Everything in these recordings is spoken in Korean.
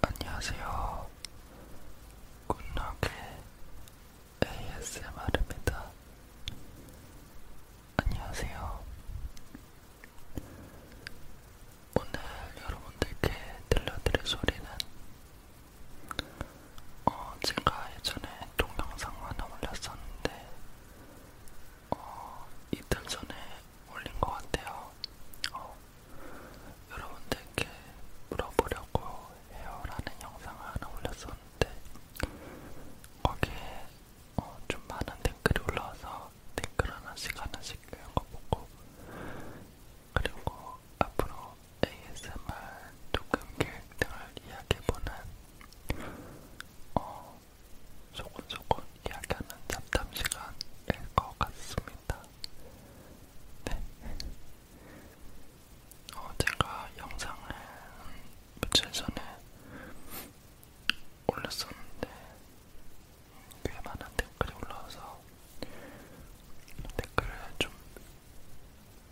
안녕하세요. 굿럭의 ASMR입니다. 안녕하세요. 오늘 여러분들께 들려드릴 소리는 어, 제가 예전에 동영상 하나 올렸었는데 어, 이틀 전에 올린 것 같아요. 어, 여러분들께 물어보려고 헤어라는 영상을 하나 올렸었는데 거기에 어, 좀 많은 댓글이 올라와서 댓글 하나씩 하나씩 읽은 거 보고 그리고 앞으로 ASMR 조금 계획 등을 이야기해보는 어, 소곤소곤 이야기하는 잡담 시간일 것 같습니다. 네. 어, 제가 영상을 며칠 전에 올렸었는데 꽤 많은 댓글이 올라와서 댓글을 좀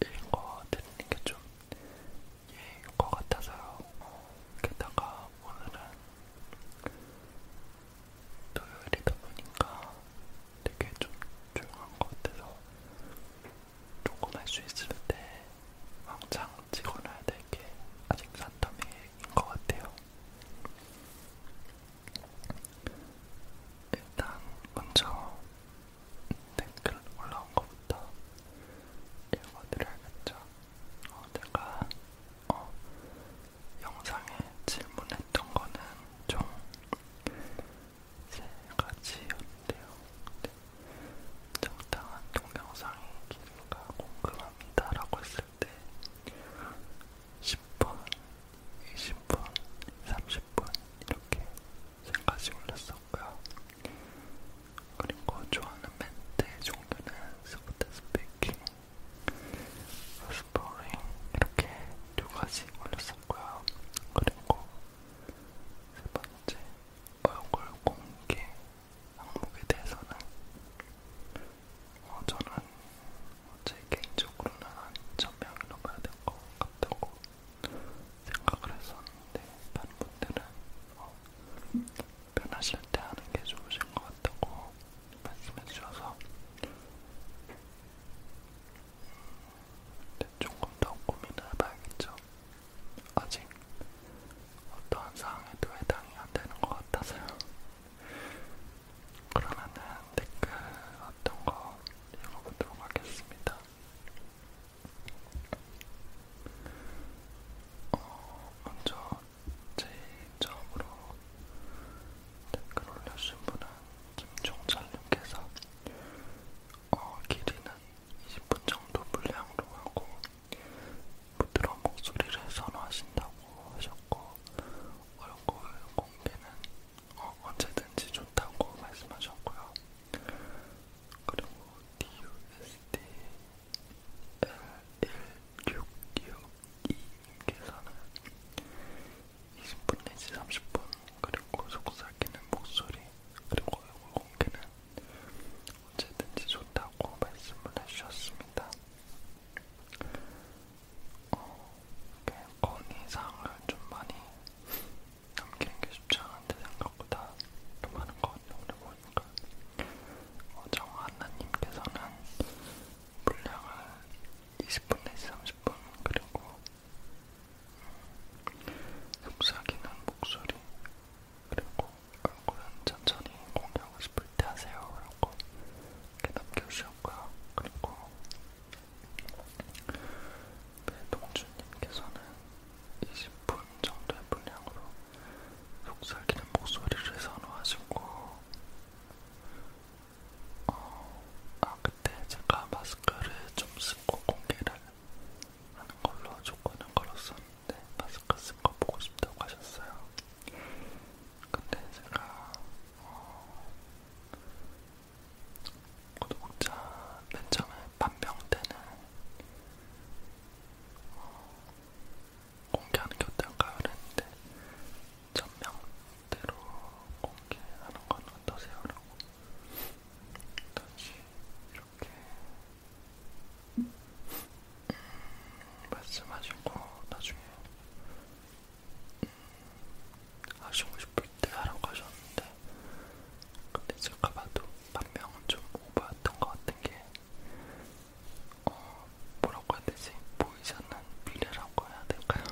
읽어드리는 게 좀 예인 것 같아서요. 게다가 오늘은 토요일이다 보니까 되게 좀 조용한 것 같아서 조금 할 수 있을 때 왕창 찍어놔야 될 게 아직 산더미인 것 같아요. 일단 먼저 댓글 올라온 것부터 읽어드려야겠죠. 어, 제가 어, 영상에 질문했던 거는 총세 가지였대요. 적당한 동영상이 길가 궁금합니다라고 했을 때 10분, 20분, 30분 이렇게 세 가지 올렸었고요. 그리고 좋아하는 멘트 종류는 스포트 스피킹, 스프링 이렇게 두 가지 올렸었고요. 그리고 세 번째 얼굴 공개 항목에 대해서는 어, 저는 제 개인적으로는 한 1000명이 넘어야 될 것 같다고 생각을 했었는데 다른 분들은 어, 변하실 때 하는 게 좋으신 것 같다고 말씀해주셔서 조금 음, 더 고민을 해봐야겠죠. 아직 어떠한 상황에도 해당이 안 되는 것 같아서요. 그러면은 댓글 어떤 거 읽어보도록 하겠습니다. 어, 먼저 제일 처음으로 댓글 올려주신 분은 김종철님께서 어, 길이는 20분 정도 분량으로 하고 부드러운 목소리를 선호하신다고 하셨고 얼굴 공개는 어, 언제든지 좋다고 말씀하셨고요. 그리고 DUSD L166 이 계산은 20분 내지 30분 그리고 속삭이는 목소리 그리고 얼굴 공개는 언제든지 좋다고 말씀을 해주셨습니다. 어, 이렇게 건의사항을 좀 많이 남기는 게 쉽지 않은데 생각보다 좀 많은 것 같아요. 그리고 보니까 어, 정하나님께서는 분량은 20분에서 30분 그리고 속삭이는 목소리 그리고 얼굴은 천천히 공개하고 싶을 때 하세요 라고 이렇게 남겨주셨고요 그리고 배동주님께서는 20분 정도의 분량으로 속삭이는 목소리를 선호하시고 어, 아 그때 제가 마스크를 좀 쓰고 공개를 하는 걸로 조건을 걸었었는데 마스크 쓴 거 보고 싶다고 하셨어요. 근데 제가 어, 구독자 맨 처음에 반병 때는 어, 공개하는 게 어떨까 그랬는데 천명대로 공개하는 건 어떠세요? 라고 다시 이렇게 음, 말씀하시고 나중에 음, 하시고 싶을 때 하라고 하셨는데 근데 제가 봐도 반명은 좀 오버했던 것 같은 게 어, 뭐라고 해야 되지? 보이지 않는 미래라고 해야 될까요?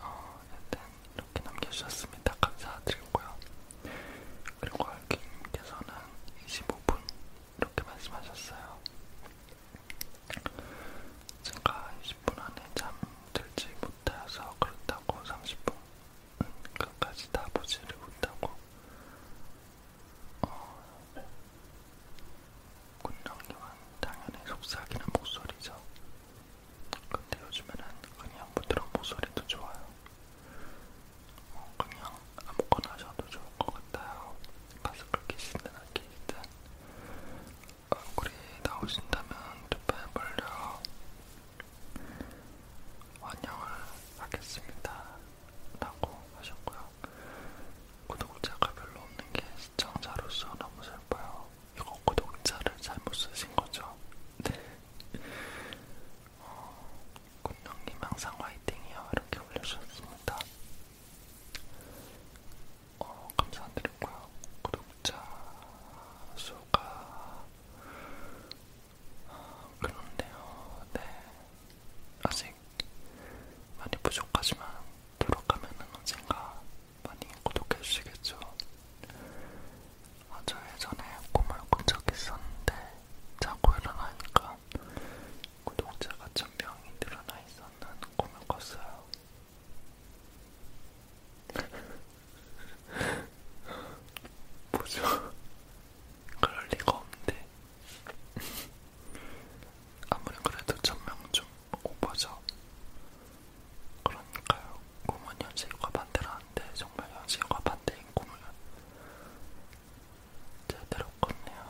어, 일단 이렇게 남겨주셨습니다. 감사드리고요. 그리고 알기님께서는 25분 이렇게 말씀하셨어요. 제가 20분 안에 잠들지 못해서 그렇다고 30분 끝까지 다 보지를 못하고 어, 군정기왕 당연히 속삭이는 목소리죠. 근데 요즘에는 그냥 부드러운 목소리도 좋아요. 어, 그냥 아무거나 하셔도 좋을 것 같아요. 마스크 끼시든 안 끼시든 얼굴이 나오신다면 두발 벌려 환영을 하겠습니다. 라고 하셨고요. 구독자가 별로 없는 게 시청자로서 너무 슬퍼요. 이거 구독자를 잘못 쓰신 거죠? 네. 어, 군영님 항상 화이팅이요. 이렇게 올려주셨습니다. 어, 감사드리고요. 구독자 수가 어, 아, 그런데요. 네. 아직 많이 부족하지만 노력하면 언젠가 많이 구독해주시겠죠. 아저 예전에 꿈을 꾼적 있었는데 자고 일어나니까 구독자가 천명이 늘어나 있었는 꿈을 꿨어요. 뭐죠? 그럴 리가 없는데 아무리 그래도 천명 좀 오버죠. 그러니까요. 꿈은 현실과 반대라는데 정말 현실과 반대인 꿈을 제대로 꿨네요.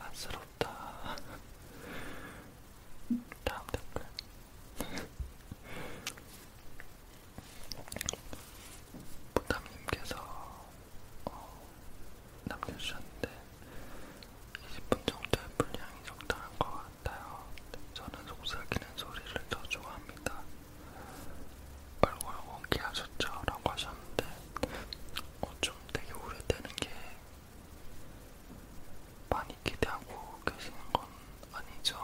안쓰럽다. 다음 댓글. 부담님께서 어, 남겨주셨는데 20분 정도의 분량이 적당한 것 같아요. 저는 속삭이는 소리를 더 좋아합니다. 얼굴 공개하셨죠? 라고 하셨는데 어, 좀 되게 우려되는 게 많이 기대하고 계시는 건 아니죠?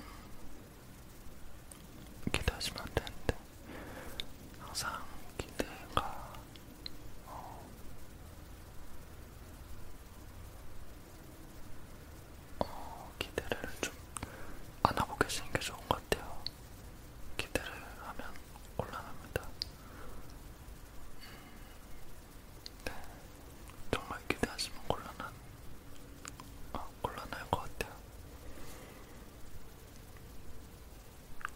음, 기대하시면 안 되는데 항상 기대가 어, 어 기대를 좀 안 하고 계시는 게 좋은 것 같아요. 기대를 하면 곤란합니다. 음, 네, 정말 기대하시면 곤란한 어, 곤란할 것 같아요.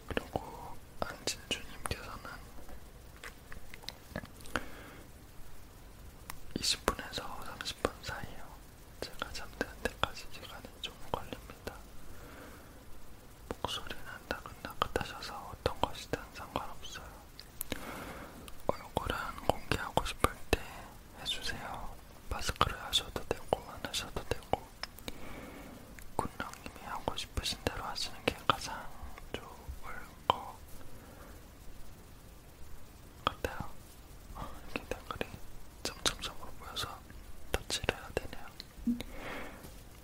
그리고 안진주님께서는 20분에서 30분 사이요. 제가 잠드는 때까지 시간이 좀 걸립니다. 목소리는 나긋나긋하셔서 어떤 것이든 상관없어요. 얼굴은 공개하고 싶을 때 해주세요. 마스크를 하셔도 되고 안 하셔도 되고 군령님이 하고 싶으신 대로 하시는 게 가장 좋을 것 같아요. 어, 이렇게 댓글이 점점점으로 보여서 터치를 해야 되네요.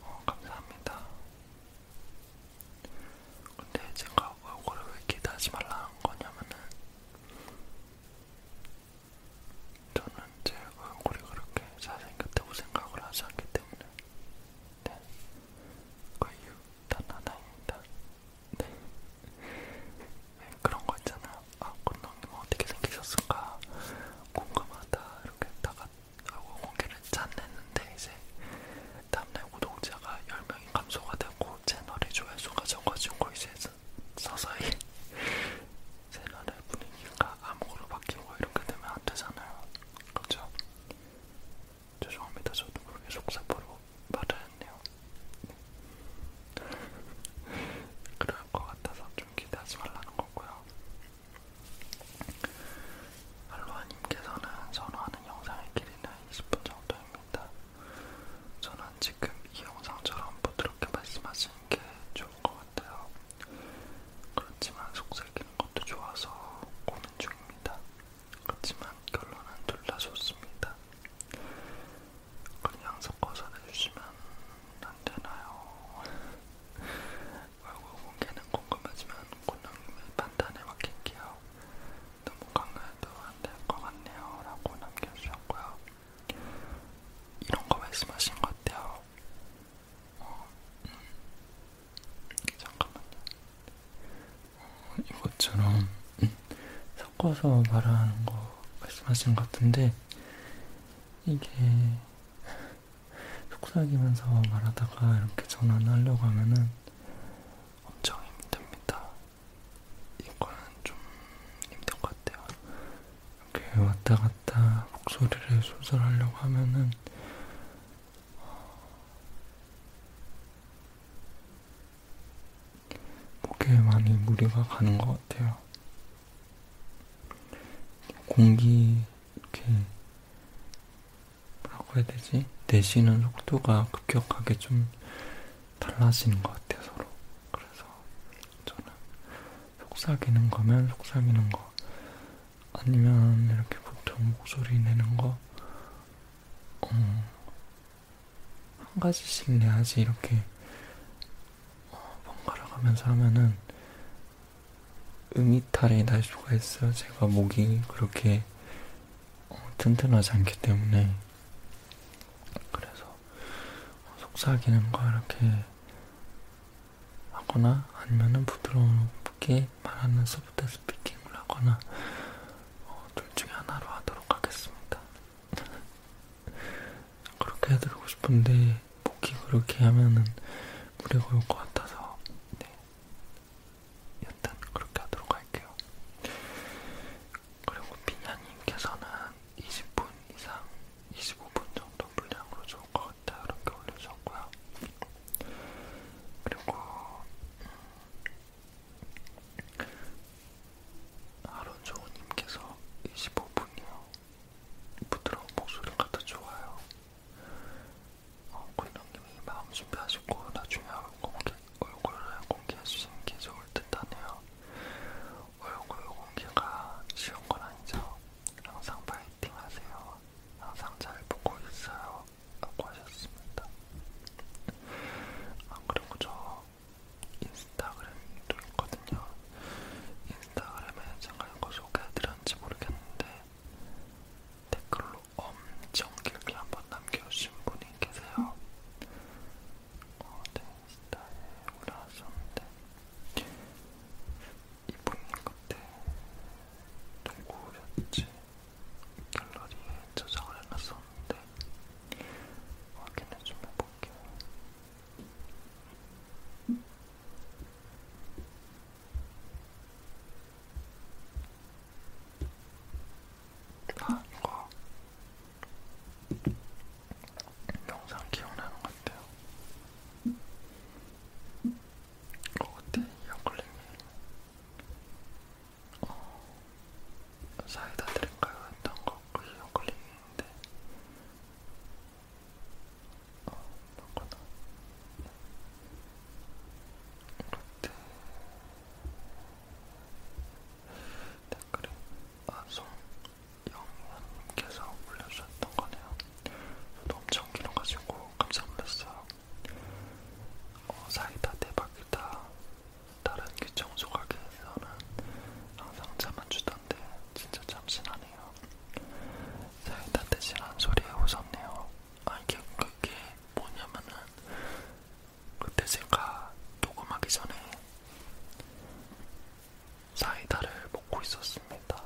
어, 감사합니다. 근데 제가 얼굴을 왜 이렇게 다지 말라 한 거냐면은 저는 제 얼굴이 그렇게 잘생겼다고 생각을 하지 않기 때문에 네, 그 이유 단 하나입니다. 네. 네, 그런 거 있잖아요. 아, 꽃농님 어떻게 생기셨을까? 궁금하다. 이렇게 다가 하고 아, 공개를 짠냈는데 이제 다음날 구독자가 10명이 감소가 되고 채널의 조회수가 적어지고 이제 서서히 세나의 분위기가 암호로 바뀌고 이렇게 되면 안 되잖아요. 그렇죠? 죄송합니다. 저도 모르게 속사포로 말을 했네요. 네. 그럴 것 같아서 좀 기대하지 말라는 거고요. 알로아님께서는 선호하는 영상의 길이는 20분 정도입니다. 저는 지금 이 영상처럼 부드럽게 말씀하시는 게 좋은 것 같아요. 그렇지만 속삭이는 것도 좋아서 고민 중입니다. 그렇지만 결론은 둘 다 좋습니다. 그냥 섞어서 내주시면 안 되나요? 얼굴 공개는 궁금하지만 권영님의 판단에 맡길게요. 너무 강요해도 안 될 것 같네요. 라고 남겨주셨고요. 이런 거 말씀하신 것 같아요. 어, 음. 잠깐만요. 어, 이것처럼 음, 섞어서 말하는 거 말씀하신 것 같은데 이게 속삭이면서 말하다가 이렇게 전환 하려고 하면은 엄청 힘듭니다. 이거는 좀 힘든 것 같아요. 이렇게 왔다 갔다 목소리를 조절하려고 하면은 어, 목에 많이 무리가 가는 것 같아요. 공기 이렇게 뭐라고 해야 되지? 내쉬는 속도가 급격하게 좀 달라지는 것 같아요, 서로. 그래서 저는 속삭이는 거면 속삭이는 거, 아니면 이렇게 보통 목소리 내는 거, 어, 한 가지씩 내야지 이렇게 어, 번갈아 가면서 하면은 음이탈이 날 수가 있어요. 제가 목이 그렇게 어, 튼튼하지 않기 때문에. 그래서 속삭이는 거 이렇게 하거나 아니면은 부드럽게 말하는 소프트 스피킹을 하거나 어, 둘 중에 하나로 하도록 하겠습니다. 그렇게 해드리고 싶은데 목이 그렇게 하면은 무리가 올 것 같아서 네. 일단 그렇게 하도록 할게요. 그리고 피냐님께서는 20분 이상, 25분 정도 분량으로 좋을 것 같다 이렇게 올려주셨고요. 그리고 음, 아론조우님께서 25분이요. 부드러운 목소리가 더 좋아요. 어, 군영님이 마음 준비하시고 나중에 얼굴 공개, 얼굴을 공개해주시는 게 좋을 듯 하네요. 얼굴 공개가 쉬운 건 아니죠. 항상 파이팅 하세요. 항상 잘 보고 있어요. 라고 하셨습니다. 안 그리고 저 인스타그램도 있거든요. 인스타그램에 제가 이거 소개해드렸는지 모르겠는데 댓글로 엄청 길게 한번 남겨주신 분이 계세요. 어, 네. 인스타에 올라왔었는데 이분님 그때 누구였지? 갤러리에 저장을 해놨었는데 확인을 좀 해볼게요. 아, 이거 영상 기억나는 것 같아요. 어, 그때 이어클림이 어, 사이다 드릴까요? 했던 거그 이어클림인데 어, 맞구나. 그때 댓글에 아송 영원님께서 올려주셨던 거네요. 저도 엄청 길어가지고 깜짝 놀랐어요. 어, 사이다 대박이다. 다른 귀청소 가게에서는 항상 차만 주던데 진짜 참신하네요. 사이다 대신 한 소리에 웃었네요. 아 이게 그게 뭐냐면은 그때 제가 녹음하기 전에 사이다를 먹고 있었습니다.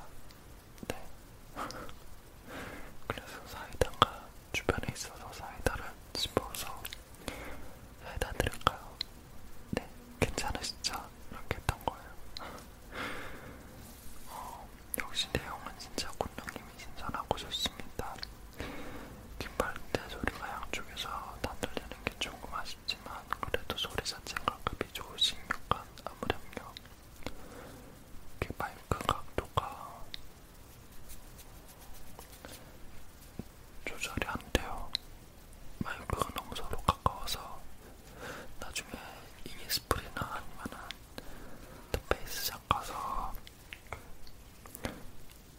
네. 그래서 사이다가 주변에 있어서 사이다를 집어서 사이다 드릴까요? 네, 괜찮으시죠? 이렇게 했던 거예요. 어, 역시 내용은 진짜 군령님이 신선하고 좋습니다. 깃발대 소리가 양쪽에서 다 들리는 게 조금 아쉽지만 그래도 소리 자체가 급이 좋으신 약간 아무렴요. 이렇게 마이크 각도가 조절이 안 돼요. 마이크가 너무 서로 가까워서 나중에 이니스프리나 아니면은 페이스 작가서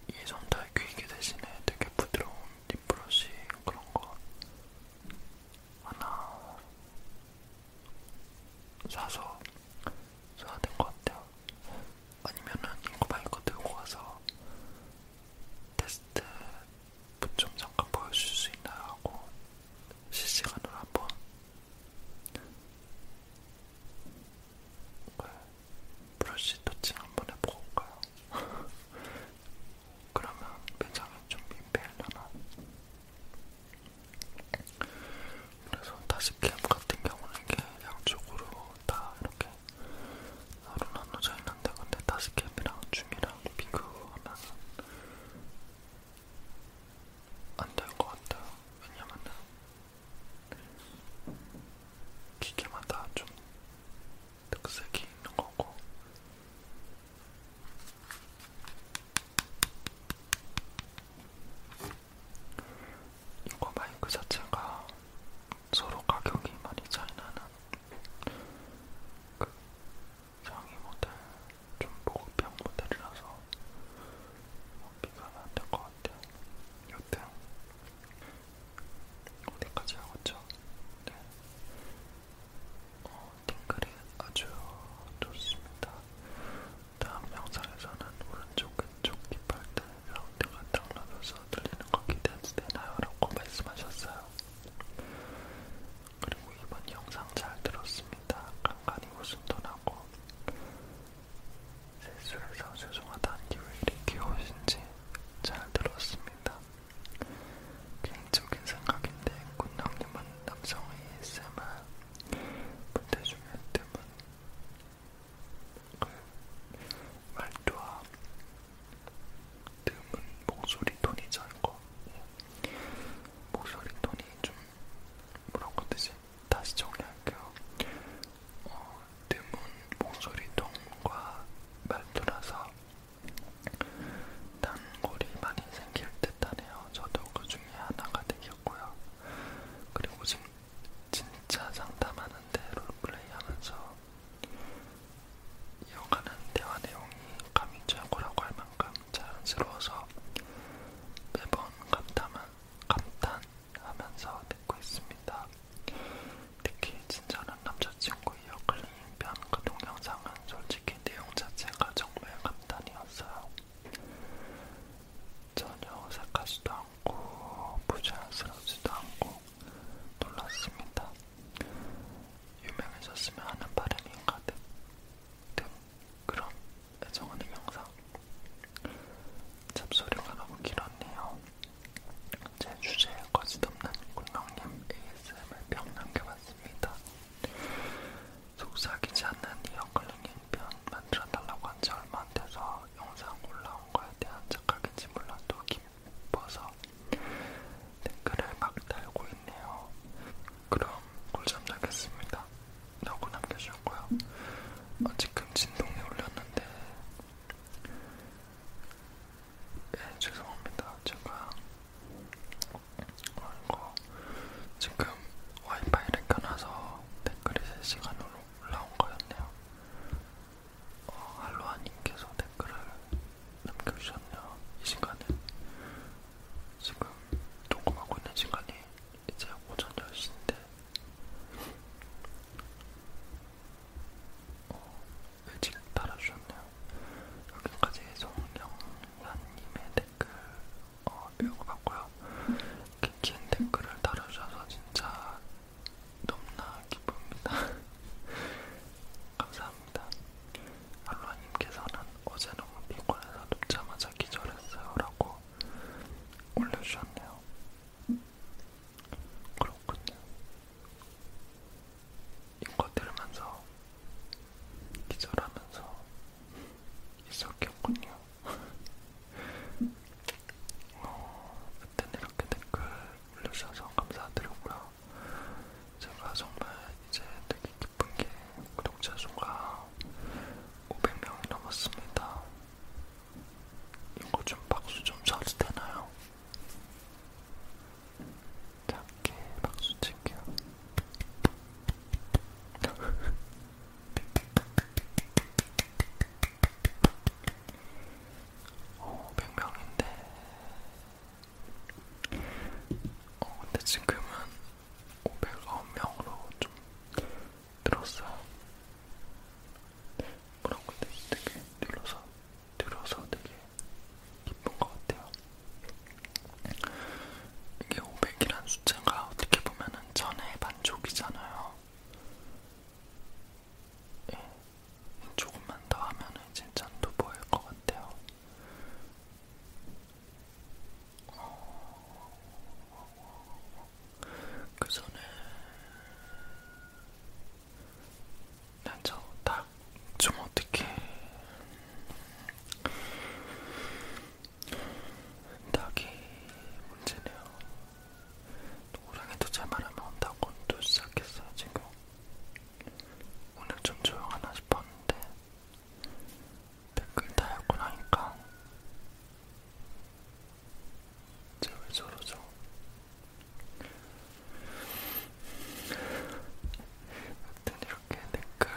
이게 그 좀더 귀이게 대신에 되게 부드러운 립브러쉬 그런 거 하나 사서 써야 될것 같아요. 아니면은 인코바이거 들고 가서 테스트 좀 잠깐 보여줄 수 있나요? 하고 실시간으로 한번 네, 브러쉬 터칭 한번 해볼까요? 그러면 매장에 좀 민폐하려나? 그래서 다시캠 같은 경우는 이게 양쪽으로 다 이렇게 나로 나눠져 있는데 근데 다시캠이랑 줌이랑 비교하면 안될 것 같아요. 왜냐면은 기계마다 좀 특색이 있는 거고 이거 마이크 자체가 서로 가격이 많이 차이나는 그 상위 모델 좀 보급형 모델이라서 뭐 비교는 안될것 같아요. 여튼 어디까지 하고 있죠? 네. 어, 팅글이 아주 좋습니다. 다음 영상에서는 오른쪽 왼쪽 깃발들 라운드가 다운로드서 들리는 거 기대해도 되나요? 라고 말씀하셨어요. 그리고 이번 영상 잘 들었습니다. 간간히 웃음도 나고 세수해서 죄송하다는 기분이 귀여우신지 잘 들었습니다. 개인적인 생각인데 군형님은 남성 ASMR 분들 중에 드문 그 말투와 드문 목소리 톤이 잘거 목소리 톤이 좀 뭐라고 하지? 다시 정리할게요. 어, 드문 목소리 톤과 말투라서 단골이 많이 생길 듯하네요. 저도 그 중에 하나가 되겠고요. 그리고 지금 진짜 상담하는데 롤플레이하면서 이어가는 대화 내용이 감이 최고라고 할 만큼 자연스러워서 매번 감탄하면서 듣고 있습니다. 특히 진짜 사랑하는 남자친구의 역클리잉편 그 동영상은 솔직히 내용 자체가 정말 간단이었어요. 전혀 어색하지도 않고 부자연스럽지도 않고 놀랐습니다. 유명해졌으면 하는 바람이 가득 등 그런 애정하는 영상. 잡소리가 너무 길었네요. 제 주제에 거짓없는 군명님 ASMR 평 남겨봤습니다. 있습니다. 속삭이지 않는 이어클링 인편 만들어달라고 한지 얼마 안 돼서 영상 올라온 거에 대한 착각인지 몰라도 기뻐서 댓글을 막 달고 있네요. 그럼 꿀잠 자겠습니다. 라고 남겨주셨고요. 어, 지금 진동이 울렸는데 예, 죄송합니다. 제가 어, 이거 지금 와이파이를 켜놔서 댓글이 3시간으로 올라온 거였네요. 어, 할로아님께서 댓글을 남겨주셨네요. 이 시간에 지금 녹음하고 있는 시간이 이제 오전 10시인데 어, 의직 달아주셨네요. 여기까지 송영란님의 댓글 어, 읽어봤고요. 그긴 댓글을 달아주셔서 진짜 너무나 기쁩니다. 감사합니다. 알로아님께서는 어제 너무 피곤해서 눕자마자 기절했어요 라고 올려주셨네요. 그렇군요. 이거 들으면서 기절하면서 있었겠군요. 어, 그때는 이렇게 댓글 올려주셔서 감사드리고요. 제가 정말 이제 되게 기쁜 게 구독자 수가 500명이 넘었습니다. 이거 좀 박수 좀 쳐도 되나요? 작게 박수 칠게요. 어, 100명인데. 어, 근데 지금은 509명으로 좀 늘었어요. 뭐라고 해야 되지? 되게 늘어서, 늘어서 되게 기쁜 것 같아요. 이게 500이란 숫자가 어떻게 보면은 전의 반족이잖아요. 예. 조금만 더 하면은 이제 잔도 보일 것 같아요. 그 전에 난저닭좀 어떻게 닭이 문제네요. 호랑이도 제 말하면 온다고 또 시작했어요 지금. 오늘 좀 조용하나 싶었는데 댓글 달고 나니까 쟤왜 저러죠? 여튼 이렇게 댓글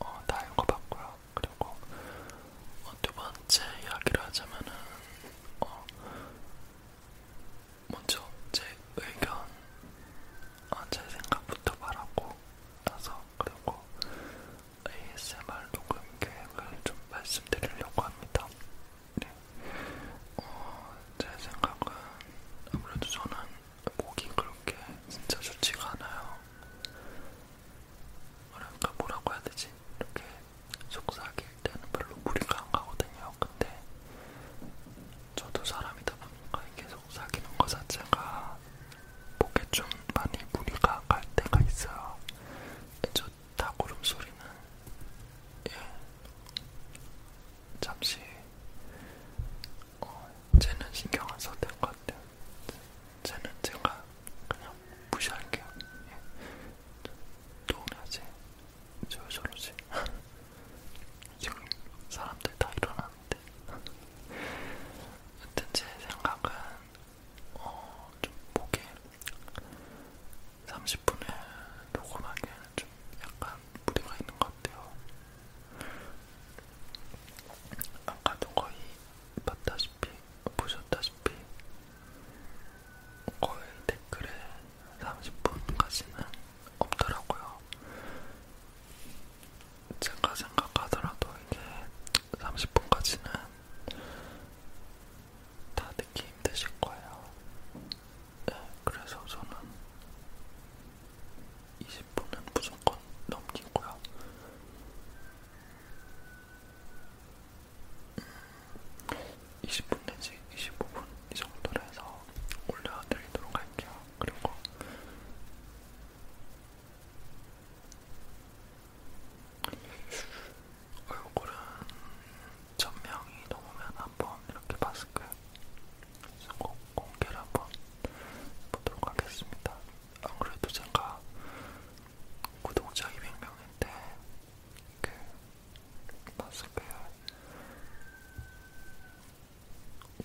어, 다 읽어봤고요. 그리고 어, 두 번째 이야기를 하자면은 어, 먼저 제 의견, 어, 제 생각부터 말하고 나서 그리고 ASMR 녹음 계획을 좀 말씀드리려고 합니다. 네. 어, 제 생각은 아무래도 저는 목이 그렇게 진짜 좋지가 않아요. 뭐랄까 뭐라고 해야 되지? 이렇게 속삭일 때는 별로 무리가 안 가거든요. 근데 저도 사람이다 보니까 이게 속삭이는 거 자체가 목에 좀 많이 무리가 갈 때가 있어요. 저닭 울음소리는 예 잠시 어, 쟤는 신경 안 써도 될 것 같아요. 쟤는 제가 그냥 무시할게요. 예. 도훈아지, 저 저러지. 지금 사람들 다 일어났는데. 여튼 제 생각은 어, 좀 목에 30분을 녹음하기에는 좀 약간 무리가 있는 것 같아요. 아까도 거의 봤다시피, 보셨다시피, 거의 댓글에 30분까지는 없더라고요. 제가 생각하더라도 이게 30분까지는 다 듣기 힘드실 거예요. 네, 그래서 저는 20분은 무조건 넘기고요. 음, 20분 내지 25분 이 정도로 해서 올려드리도록 할게요. 그리고 얼굴은 천명이 넘으면 한번 이렇게 마스크 꼭 공개를 한번 보도록 하겠습니다. 안 그래도 제가 구독자 200명인데 그 마스크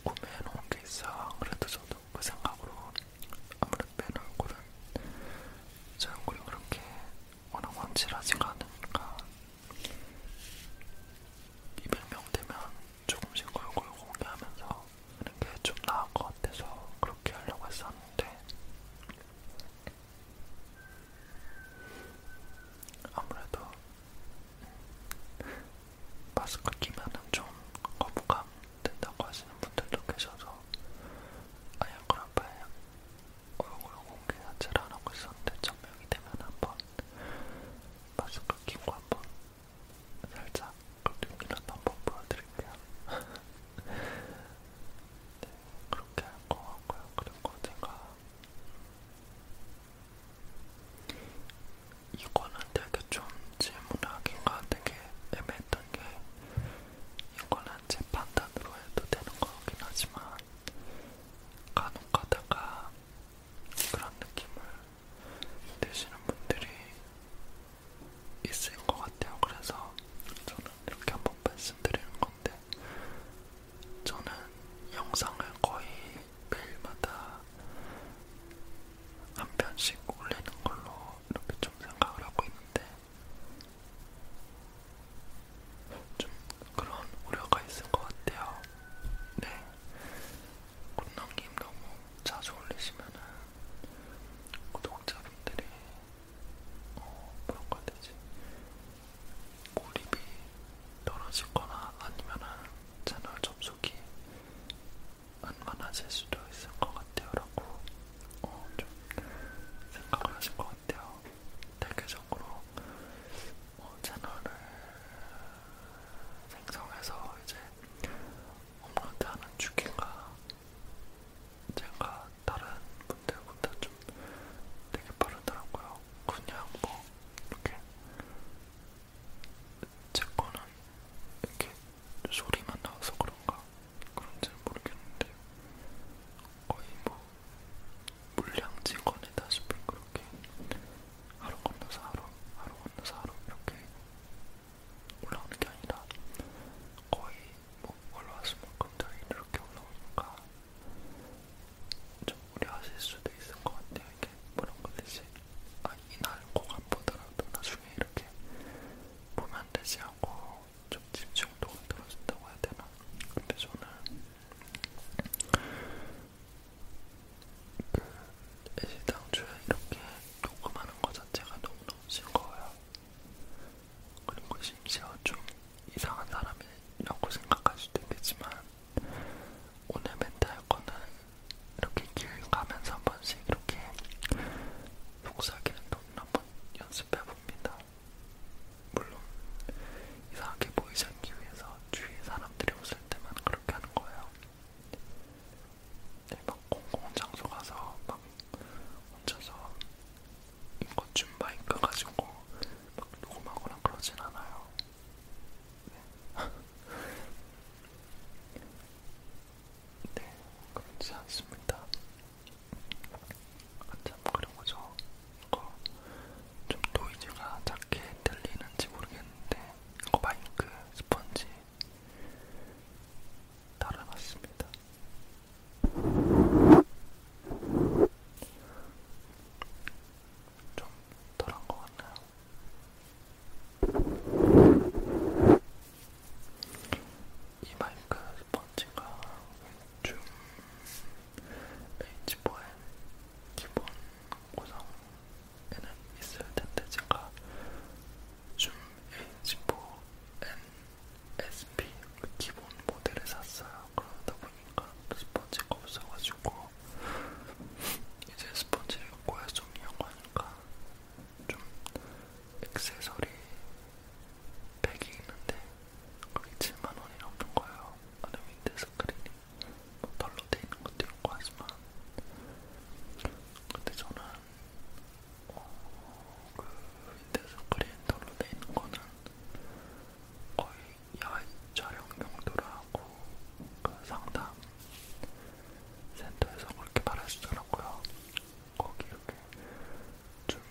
구매해놓은 게 있어. 안 그래도 저도 그 생각으로 아무래도 빼놓고는 제 얼굴이 그렇게 워낙 완질하지가 않으니까 200명 되면 조금씩 얼굴 공개하면서 하는 게좀 나은 것 같아서 그렇게 하려고 했었는데 아무래도 마스크 끼면은 좀 거부감 된다고 하시는 분들도 계셔서 아예 그 앞에 얼굴 공개 자체를 안 하고 있었는데 천명이 되면 한번 마스크 끼고 한번 살짝 긁기라도 한번 보여드릴게요. 네, 그렇게 할거 같고요. 그리고 제가 이거는 되게 좀 질문하기가 되게 애매했던 게 이거는 제 판단으로 해도 되는 거긴 하지만 간혹 가다가 그런 느낌을 되시는 분들이 있을 것 같아요. 그래서 저는 이렇게 한번 말씀드리는 건데, 저는 영상을 거의 매일마다 한 편씩 올리는 걸로 이렇게 좀 생각을 하고 있는데, 좀 그런 우려가 있을 것 같아요. 네. 굿남님 너무 자주 올리시면은 구독자분들이 어 뭐라고 해야 되지? 몰입이 떨어지거나 아니면은 채널 접속이 웬만하실 수도 있을 것 같아요 라고 어, 좀 생각을 하실 것 같아요 대개적으로 어, 채널을 생성해서 이제 엄마한테 하는 주기가 제가 다른 분들보다 좀 되게 빠르더라고요. 그냥 뭐 이렇게 제 거는 이렇게 소리만 나와서 그런가 그런지는 모르겠는데 거의 뭐 물량지 꺼내다시피 그렇게 하루 건너서 하루 하루 건너사로 이렇게 올라오는 게 아니라 거의 뭐 올라왔으면 굉장히 이렇게 올라오니까 좀 무리하실 수도 있을 것 같아요. 이게 그런 거 대신 아, 이날 꼭안 보더라도 나중에 이렇게 보면 되지 않고 좀 집중도가 떨어진다고 해야 되나? 근데 저는 그 애시 당초에 이렇게 녹음하는 거 자체가 너무너무 싫거예요 그리고 심지어 좀 이상한 사람이라고 생각할 수도 있겠지만 오늘 멘탈 거는 이렇게 길 가면서 한 번씩 이렇게 속삭이는 돈을 한번 연습해봅니다. 물론 이상하게 보이지 않기 위해서 주위 사람들이 웃을 때만 그렇게 하는 거예요. 네, 막 공공장소 가서 막 혼자서 인거춤 마이크 가지고 막 녹음하거나 그러진 않아요. 네, 네 그렇지 않습니다. 아참 그리고 저 이거 좀 노이즈가 작게 들리는지 모르겠는데 이거 마이크 스펀지 달아봤습니다. 좀 덜한 것 같나요? 이 마이크 스펀지가 좀 H4의 기본 구성 에는 있을 텐데 제가 줌 H4NSP 그 기본 모델을 샀어요. 그러다 보니까 스펀지가 없어가지고 이제 스펀지를 구할 수 없냐고 하니까 좀 액세서리 팩이 있는데 거기 7만원이 넘는 거예요. 아래 밑에 스크린이 뭐 덜렁 걸로 돼 있는 것도 있고 하지만 근데 저는 어, 그 윈도우 크리엔터로 돼 있는 거는 거의 야외 촬영 용도로 하고 그 상담 센터에서 그렇게 말하시더라고요. 거기 이렇게 좀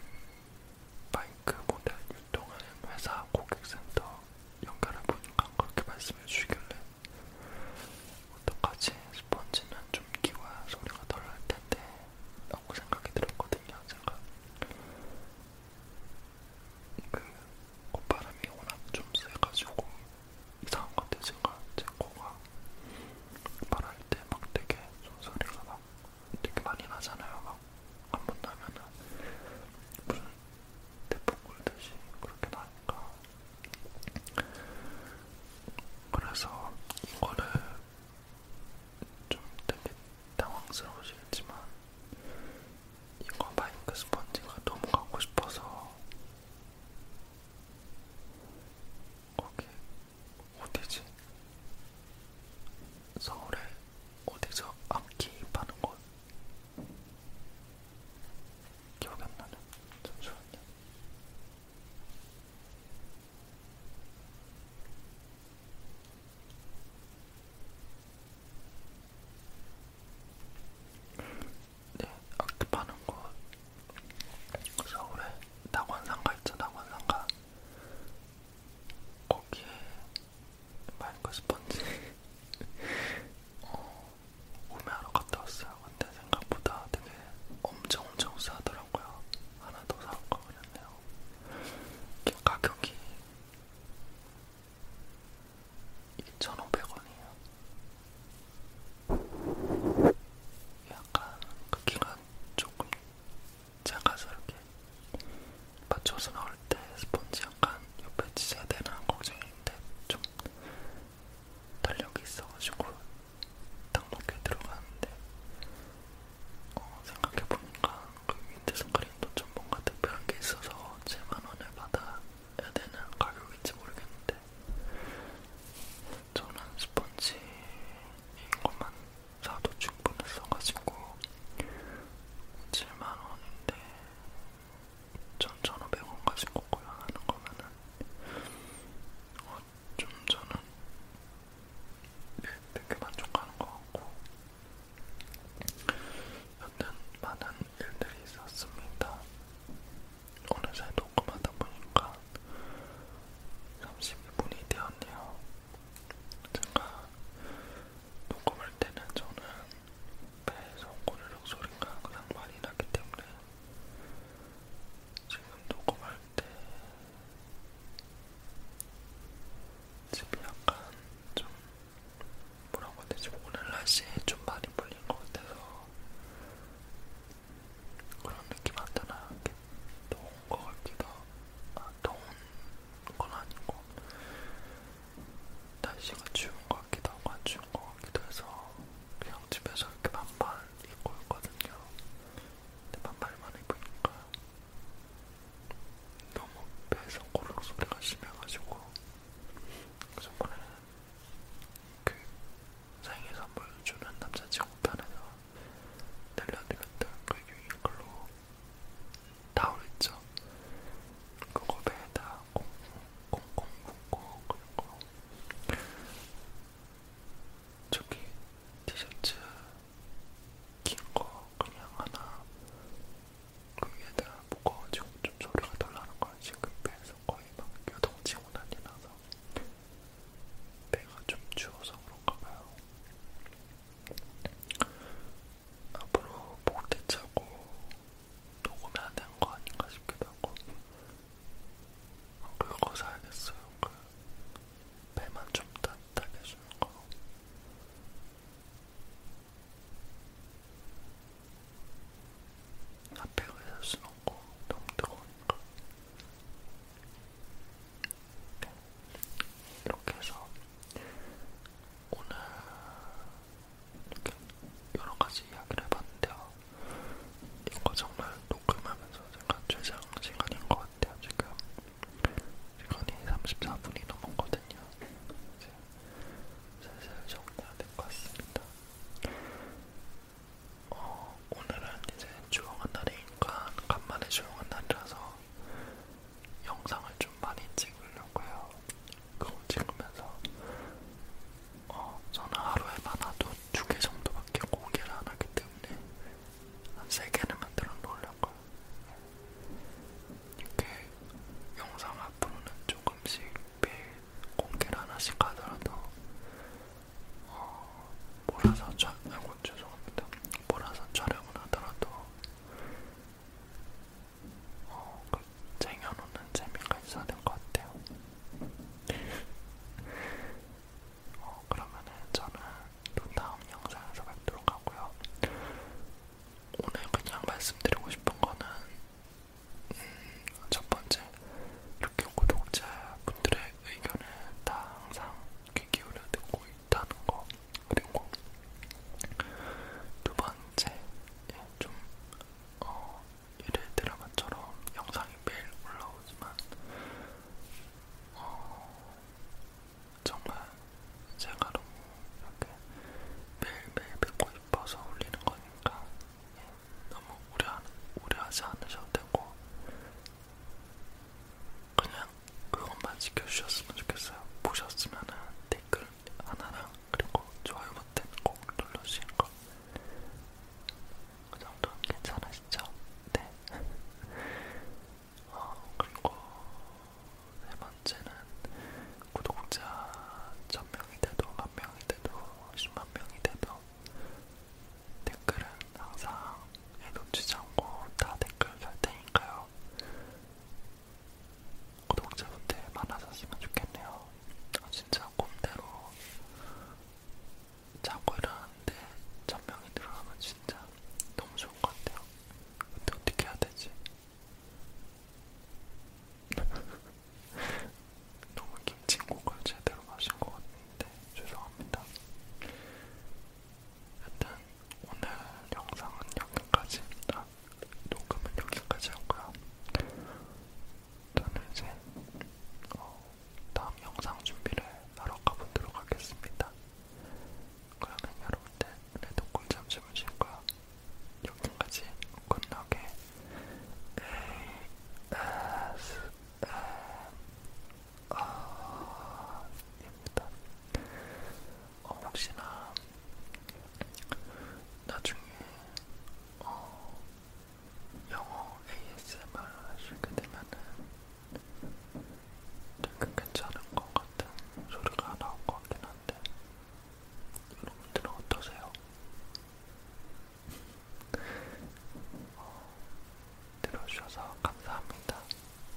마이크 모델 유통하는 회사 고객센터 연결해 보니까 그렇게 말씀해 주시길래 어떡하지? 스펀지는 좀 키워야 소리가 덜할 텐데 라고 생각이 들었거든요. 제가 그 콧바람이 워낙 좀 세가지고 이상한 것 같아요. 제가 제 코가 말할 때막 되게 소리가 막 되게 많이 나잖아요. 막 한번 나면은 무슨 대풍 굴듯이 그렇게 나니까 그래서 이거를 좀 되게 당황스러우시겠지만 이거 마이크 스펀지가 너무 갖고 싶어서 거기 어디지? 서울에 어디서 악기 파는 곳? 기억이 안 나네. 잠시만요. 네, 악집하는 곳 서울에 낙원상가 있죠, 낙원상가. 거기에 마이크 스펀지 어, 구매하러 갔다 왔어요. 근데 생각보다 되게 엄청 엄청 싸더라고요. 하나 더 사올 거 그랬네요. 가격이 2,500원이에요. 약간 그 기간 조금 작아서 이렇게 맞춰서 나올 때 스펀지 약간 옆에 지져야 되나 걱정인데 좀 달력이 있어가지고 딱 먹게 들어가는데 어, 생각해보니까 그 민트 스크린도 좀 뭔가 특별한 게 있어서 7만원을 받아야 되는 가격인지 모르겠는데 저는 스펀지인 것만 사도 충분했어가지고 7만원인데 1,1,500원 가지고 고양하는 거면은 좀 저는 되게 만족하는 것 같고 여튼 많은 일들이 있었습니다. 어느새 녹음하다 보니까 32분이 되었네요. 제가 녹음할 때는 저는 배에서 고르륵 소리가 그냥 많이 나기 때문에 지금 녹음할 때 집이 약간 좀 뭐라고 해야 되지? 오늘 날씨에 좀 많이 풀린 것 같아서 그런 느낌 안 드나? 더운 거 같기도 아 더운 건 아니고 날씨가 추운 것 같기도 하고 안 추운 것 같기도 해서 그냥 집에서 이렇게 반팔 입고 있거든요. 근데 반팔만 입으니까 너무 배에서 고르륵 소리가 심해가지고 저번에는 그 생일 선물 주는 남자친구 편에서 들려드렸던 그 유니클로 타올 있죠? 그거 배에다 꽁꽁 꽁꽁 묶고 그리고 저기 티셔츠 긴 거 그냥 하나 그 위에다 묶어가지고 좀 소리가 덜 나는 거야 지금 배에서 거의 막 여동치고 난리 나서 배가 좀 추워서 그런가 봐요 앞으로 목대 차고 녹음해야 되는 거 아닌가 싶기도 하고 그거 사야겠어요. 그 배만 좀 따뜻하게 해주는 거. 앞에 의자 수는 없고 너무 뜨거우니까. 이렇게 해서 오늘 이렇게 여러 가지 이야기를 해봤는데요. 이거 정말 녹음하면서 제가 최장 시간인 것 같아요. 지금 시간이 34분이 넘었거든요. 이제 슬슬 정리해야 될것 같습니다. 어, 오늘은 이제 조용한 날이니까 간만에 조용한 날이라서 영상을 좀 많이 찍으려고요. 그거 찍으면서 어, 저는 하루에 많아도 두 개 정도밖에 고기를 안 하기 때문에 한세 개는 만들어 놓으려고요. 이렇게 영상 앞으로는 조금씩 매일 공개를 하나씩 하더라도 어, 몰아서 촬, 아이고 죄송합니다. 몰아서 촬영을 하더라도 어, 그 쟁여놓는 재미가 있어야 될 것 같아요. 어, 그러면은 저는 또 다음 영상에서 뵙도록 하고요. 오늘 그냥 말씀드리고 싶은 거는 음, 첫 번째 이렇게 구독자분들의 의견을 다 항상 귀 기울여 듣고 있다는 거 그리고 두 번째 예, 좀 어, 일일 드라마처럼 영상이 매일 올라오지만 어, 정말 제가 너무 이렇게 매일매일 뵙고 싶어서 올리는 거니까 예, 너무 우려, 우려하지 않으셔도 되고 그냥 그것만 지켜주셨으면 좋겠어요. 보셨으면 댓글 하나랑 그리고 좋아요 버튼 꼭 눌러주시는 거그 정도는 괜찮으시죠? 네. 어, 그리고 세 번째는 구독자 1000명이 돼도, 1000명이 돼도, 10만명이 돼도 댓글은 항상 놓치지 않고 다 댓글 달 테니까요. 구독자분들 많아졌으면 좋겠네요. 아, 진짜 꿈대로 자고 일어났는데 천명이 늘어나면 진짜 너무 좋은 것 같아요. 근데 어떻게 해야 되지? 너무 김치국을 제대로 마신 것 같은데 죄송합니다. 일단 오늘 영상은 여기까지. 아, 녹음은 여기까지 하고요. 저는 이제 어, 다음 영상 준비를 하러 가보도록 하겠습니다. 그러면 여러분들 그래도 꿀잠 주무시고요. 여기까지 굿나게 ASMR입니다. 어, 혹시나 나중에 어, 영어 ASMR 하시게 되면은 되게 괜찮은 것 같은 소리가 나올 것 같긴 한데 여러분들은 어떠세요? 어, 들어주셔서 감사합니다.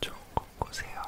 좋은 꿈 꾸세요.